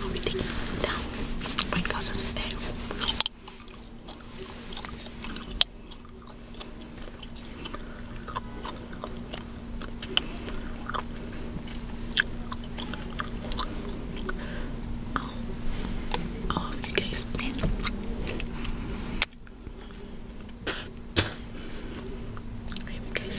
I'll be taking down my cousins today. Oh, I you guys. I hope you guys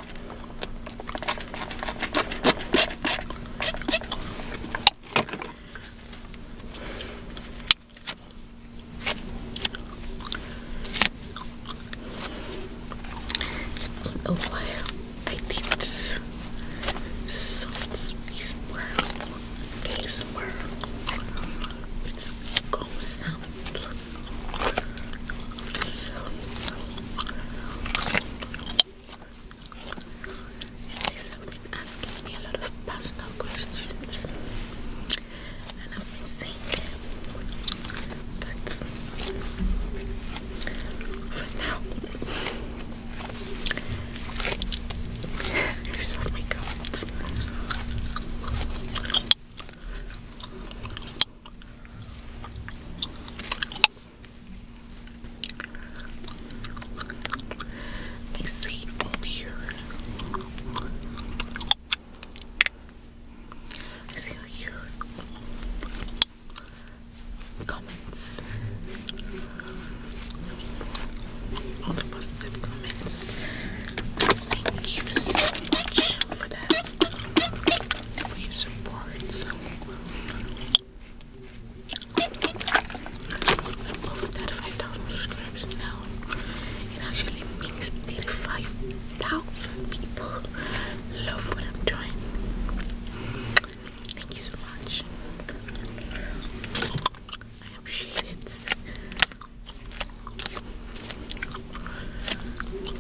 It's been a while. I did soft space world, face world. it and they have asking me a lot of personal questions, and I've been them. But for now, I resolve my comments. Let see over here. I see all comments. All the positive comments. Thank you so much for that we support I'm over that 5,000 subscribers now. It actually means 35,000 people love what I'm doing. Thank you so much. I appreciate it.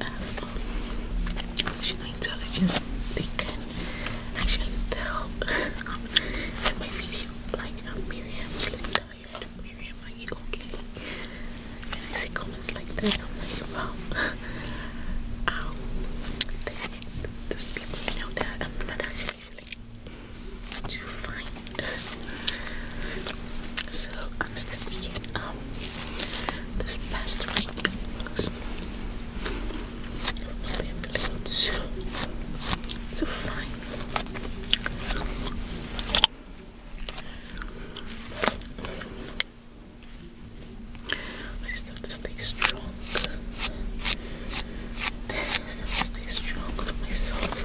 as emotional intelligence, they can actually tell that my video, like uh, Miriam, is like tired. Miriam, are you okay? And I see comments like that, I'm like, wow. Ow. These people know that I'm not actually feeling too fine. so, honestly speaking, um, this past week because I've I just to stay strong. I just to stay strong with myself.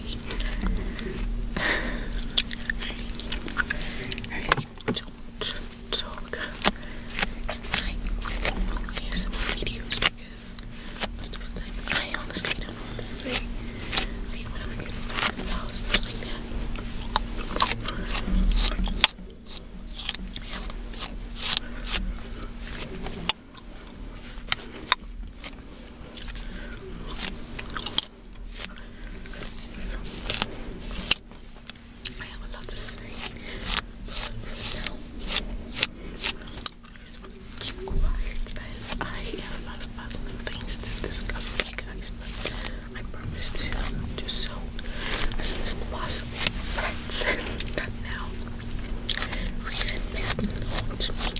don't talk at night is videos because most of the time I honestly don't know to say. Like when I'm to talk about like that. I have a lot to say, but for now, I have a lot of personal things to discuss with you guys, but I promise to do so as soon as possible, not now. Recent business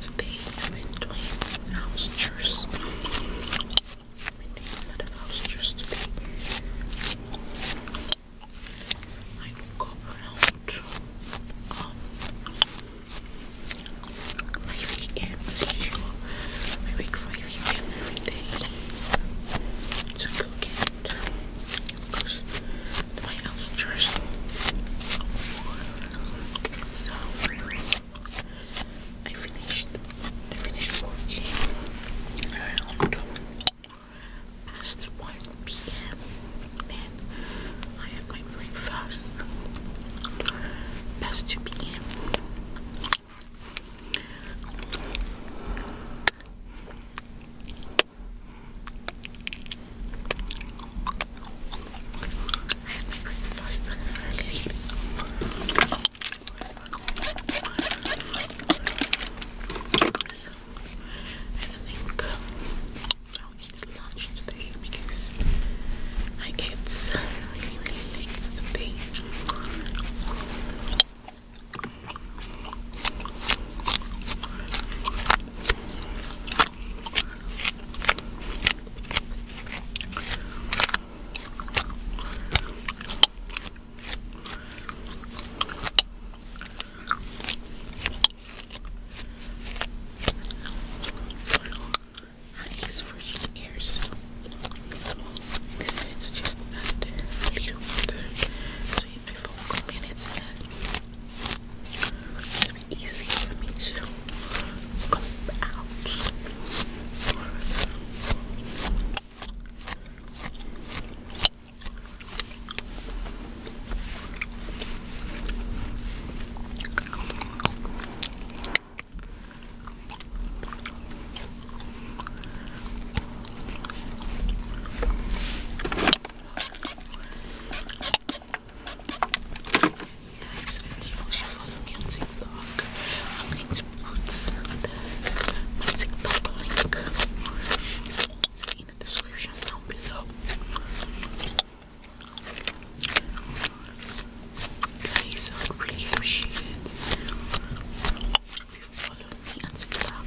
So they have been doing house chores. I've been doing a lot of house chores today. I woke up around um, 5 a.m. as usual. I wake 5 a.m. every day to cook and of course my house chores. So, I finished I finished working around past 1 p.m. Then I had my breakfast past 2 p.m. I have my breakfast. So, I think I'll eat lunch today because I get really, really late today. These virgin ears, and just under a little under 25 minutes. And It'll be easy for me to come out. Guys, if you follow me on TikTok, I'm going to put my TikTok link in the description down below. Guys, I really appreciate it if you follow me on TikTok.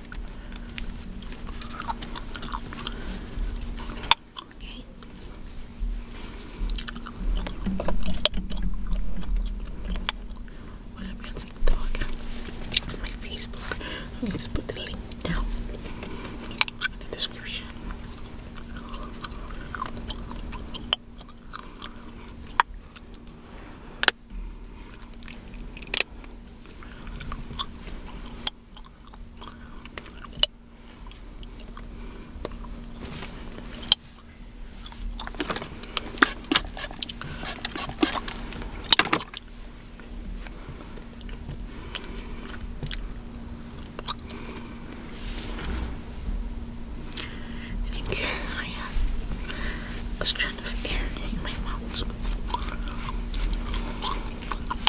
Okay. What up on TikTok? On my Facebook. i put the link down in the description. I think I have a strand of air in my mouth.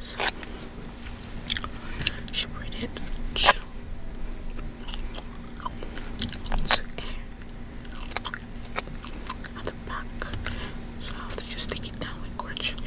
So she read it to on the back. So I just take it down with crutch milk.